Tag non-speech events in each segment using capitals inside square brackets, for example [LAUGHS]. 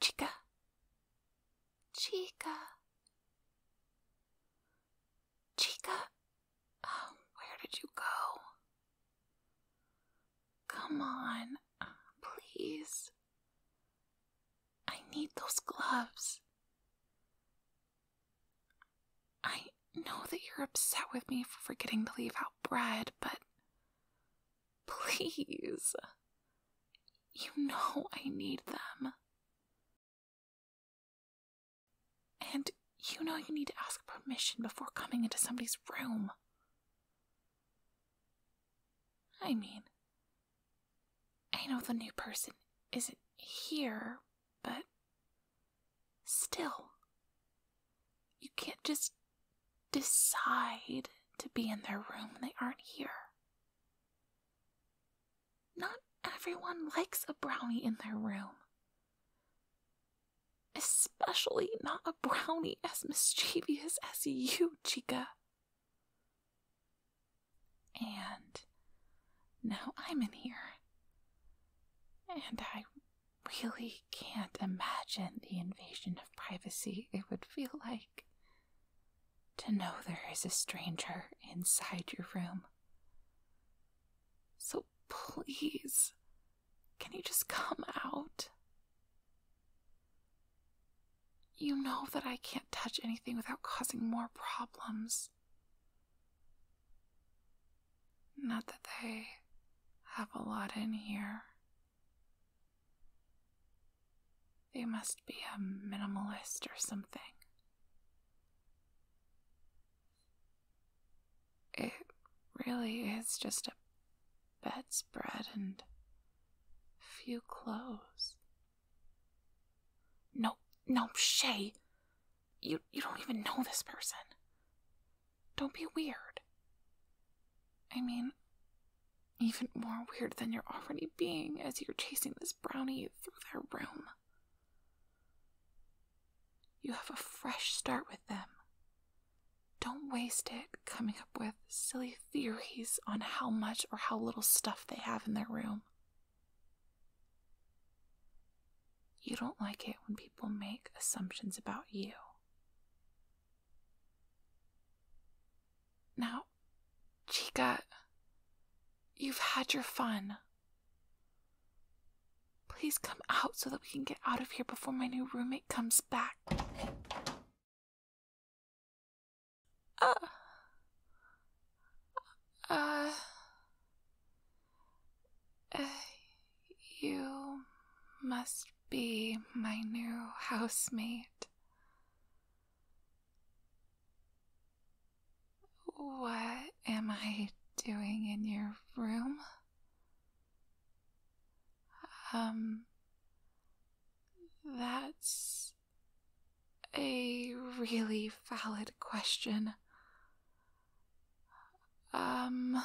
Chica. Chica. Chica. Um, where did you go? Come on, please. I need those gloves. I know that you're upset with me for forgetting to leave out bread, but [LAUGHS] Please. You know I need them. And you know you need to ask permission before coming into somebody's room. I mean, I know the new person isn't here, but still, you can't just decide to be in their room they aren't here. Not everyone likes a brownie in their room. Especially not a brownie [LAUGHS] as mischievous as you, Chica. And now I'm in here. And I really can't imagine the invasion of privacy it would feel like to know there is a stranger inside your room. So please, can you just come out? You know that I can't touch anything without causing more problems. Not that they have a lot in here. They must be a minimalist or something. It really is just a bedspread and few clothes. No, no, Shay. You you don't even know this person. Don't be weird. I mean, even more weird than you're already being as you're chasing this brownie through their room. You have a fresh start with them. Don't waste it coming up with silly theories on how much or how little stuff they have in their room. You don't like it when people make assumptions about you. Now, Chica, you've had your fun. Please come out so that we can get out of here before my new roommate comes back. Uh. Uh. Uh. You must be my new housemate. What am I doing in your room? Um, that's a really valid question. Um.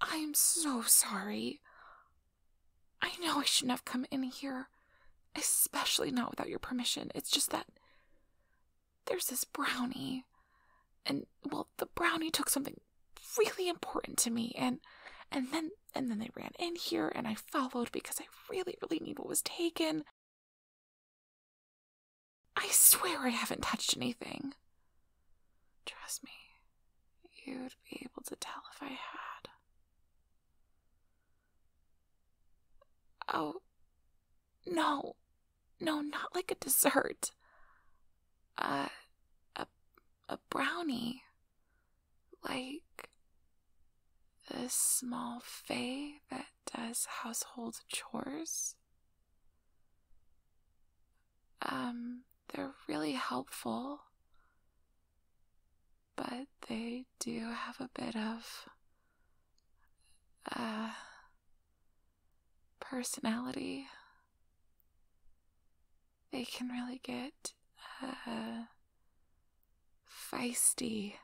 I'm so sorry. I know I shouldn't have come in here, especially not without your permission. It's just that there's this brownie, and well, the brownie took something really important to me, and and then and then they ran in here, and I followed because I really really need what was taken, I swear I haven't touched anything. Trust me, you'd be able to tell if I had. Oh, no. No, not like a dessert. Uh, a, a brownie. Like the small fae that does household chores. Um, they're really helpful, but they do have a bit of uh, personality. They can really get uh, feisty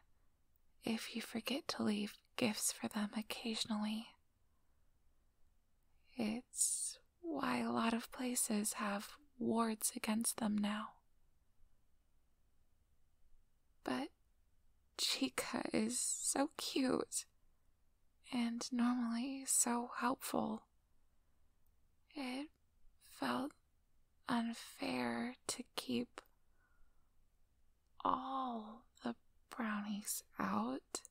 if you forget to leave gifts for them occasionally. It's why a lot of places have wards against them now. But Chica is so cute and normally so helpful. It felt unfair to keep all the brownies out?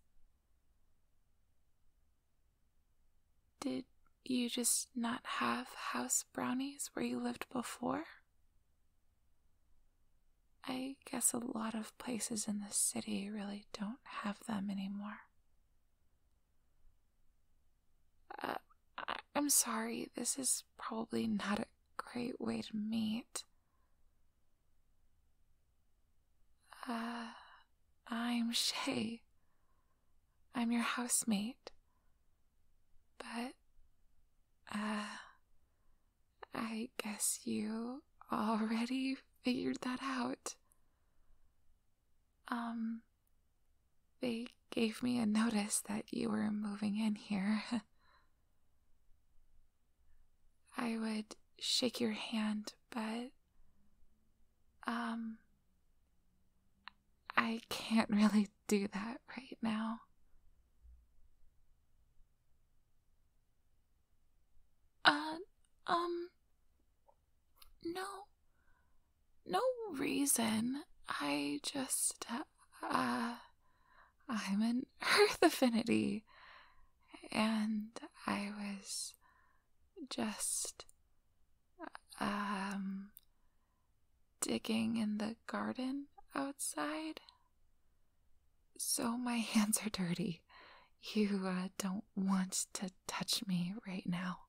Did you just not have house brownies where you lived before? I guess a lot of places in the city really don't have them anymore. Uh, I'm sorry, this is probably not a great way to meet. Uh, I'm Shay. I'm your housemate. But, uh, I guess you already figured that out. Um, they gave me a notice that you were moving in here. [LAUGHS] I would shake your hand, but um I can't [LAUGHS] really do that right now. Uh um no no reason. I just uh uh, I'm an [LAUGHS] earth affinity. And I was just um digging in the garden outside. So my [LAUGHS] hands are dirty. You uh, don't want to touch me right now.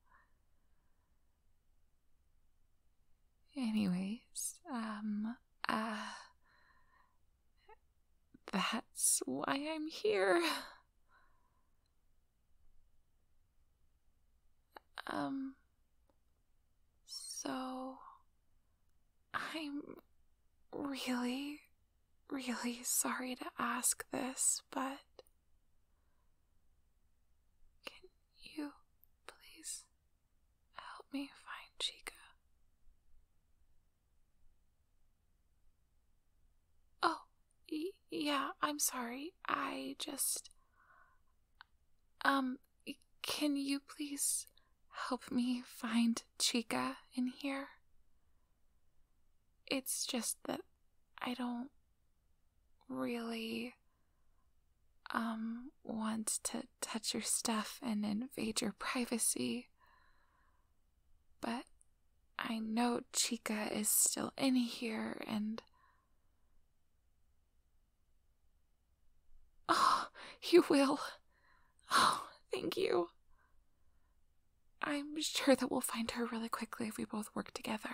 Anyways, um, uh, that's why I'm here. Um, so I'm really, really sorry to ask this, but can you please Help me find Chica. Oh, yeah, I'm sorry. I just. Um, can you please help me find Chica in here? It's just that I don't really um, want to touch your stuff and invade your privacy. But I know Chica is still in here and. [SIGHS] Oh, you will. [SIGHS] Oh, thank you. I'm sure that we'll find her really quickly if we both work together.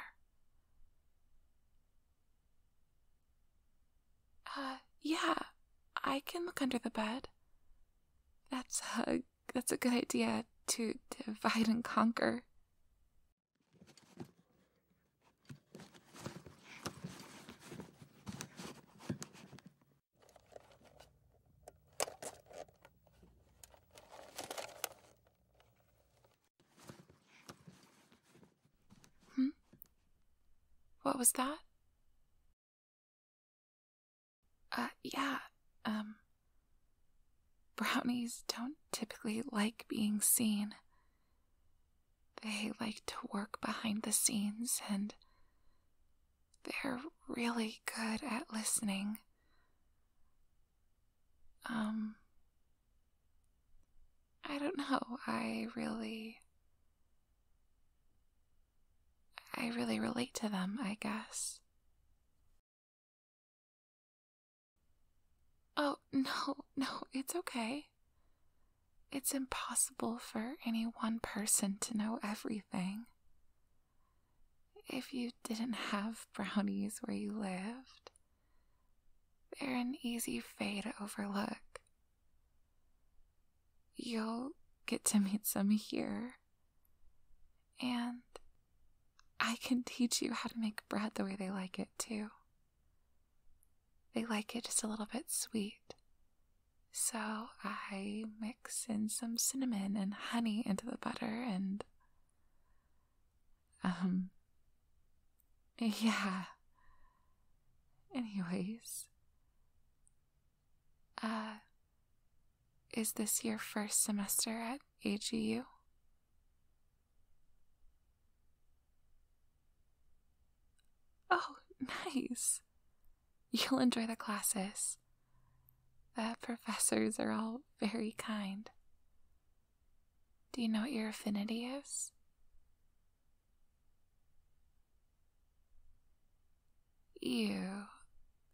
Uh, yeah, I can look under the bed. That's a, that's a good idea to divide and conquer. Hmm? What was that? Uh, yeah, um. Brownies don't typically like being seen. They like to work behind the scenes and they're really good at listening. Um, I don't know. I really. I really relate to them, I guess. Oh, [LAUGHS] no, no, it's okay. It's impossible for any one person to know everything. If you didn't have brownies where you lived, they're an easy fay to overlook. You'll get to meet some here. And I can teach you how to make bread the way they like it, too. They like it just a little bit sweet. So I mix in some cinnamon and honey into the butter and um [LAUGHS] Yeah. Anyways. Uh, is this your first semester at AGU? Oh, [LAUGHS] nice. You'll enjoy the classes. The professors are all very kind. Do you know what your affinity is? You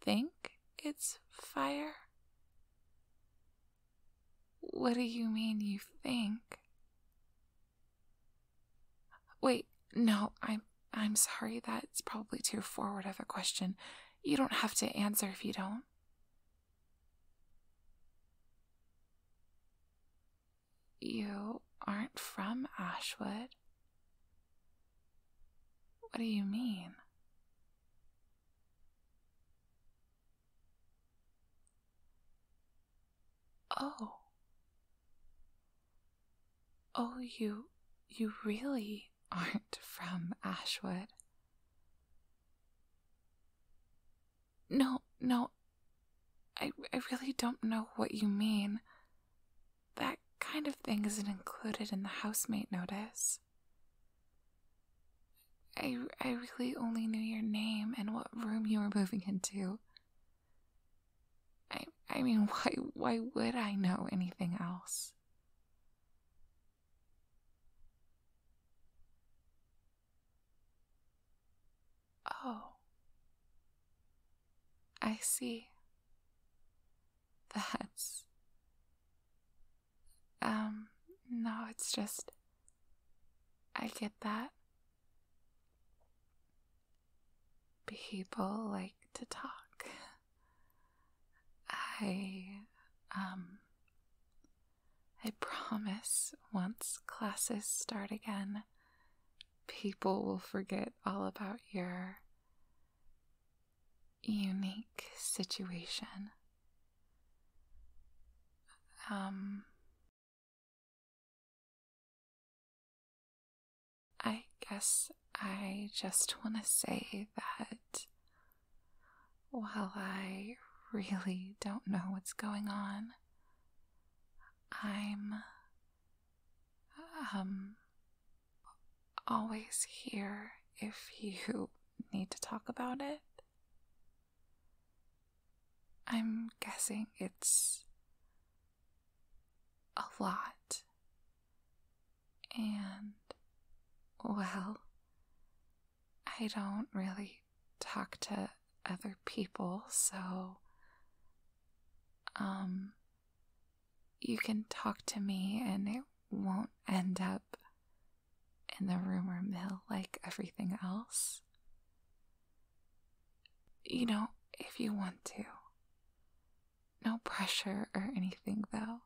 think it's fire? What do you mean you think? Wait, no, I'm I'm sorry that's probably too forward of a question. You don't have to answer if you don't. You aren't from Ashwood. What do you mean? Oh. Oh, you you really aren't from Ashwood. No, no. I, I really don't know what you mean. That kind of thing isn't included in the housemate notice. I, I really only knew your name and what room you were moving into. I, I mean, [LAUGHS] why, why would I know anything else? Oh, I see. [LAUGHS] That's. Um, no, it's just. I get that. People like to talk. [LAUGHS] I, um, I promise once classes start again, people will forget all about your unique situation. Um, I guess I just want to say that while I really don't know what's going on, I'm um always here if you [LAUGHS] need to talk about it. I'm guessing it's a lot. And well, I don't really talk to other people, so um you can talk to me and it won't end up in the rumor mill like everything else. You know, if you want to. No pressure or anything, though.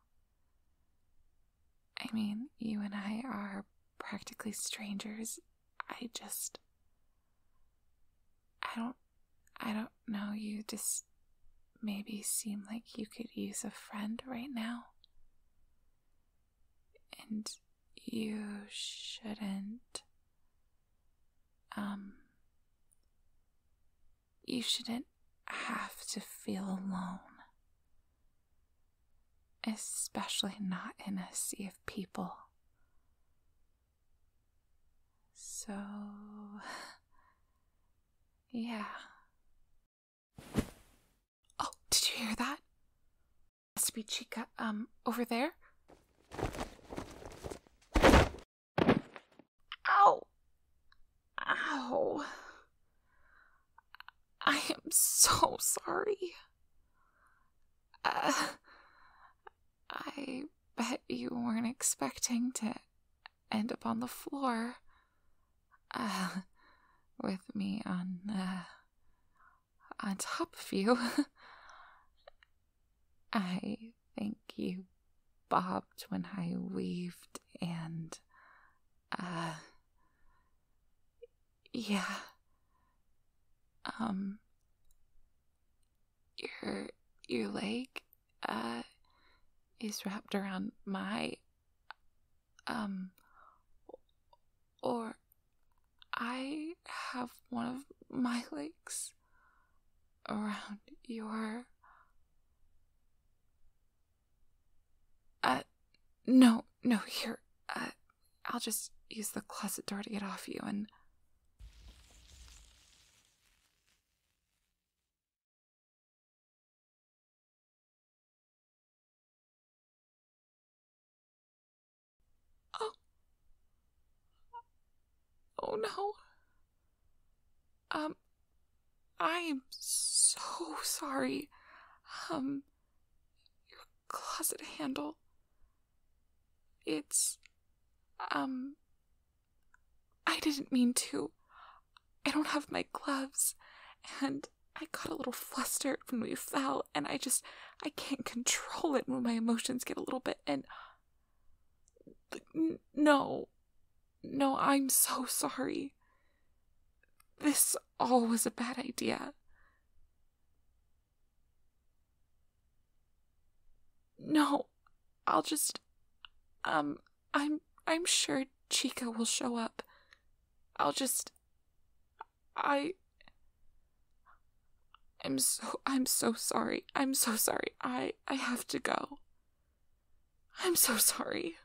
I mean, you and I are practically strangers. I just. I don't. I don't know. You just maybe seem like you could use a friend right now. And you shouldn't. Um, you shouldn't have to feel alone especially not in a sea of people. So, [LAUGHS] yeah. Oh, did you hear that? Has to be Chica, um, over there. Ow! Ow! I am so sorry. Uh, I bet you weren't expecting to end up on the floor uh, with me on uh, on top of you. [LAUGHS] I think you bobbed when I waved and uh yeah. Um your your leg uh is wrapped around my um or I have one of my legs around your uh no no here uh I'll just use the closet door to get off you and. Oh. Oh no. Um, I am so sorry. Um, your closet handle. It's. Um. I didn't mean to. I don't have my gloves, and I got a little flustered when we fell, and I just. I can't control it when my emotions get a little bit, and. No. No, I'm so sorry. This all was a bad idea. No, I'll just um I'm I'm sure Chica will show up. I'll just I I'm so I'm so sorry. I'm so sorry. I I have to go. I'm so sorry.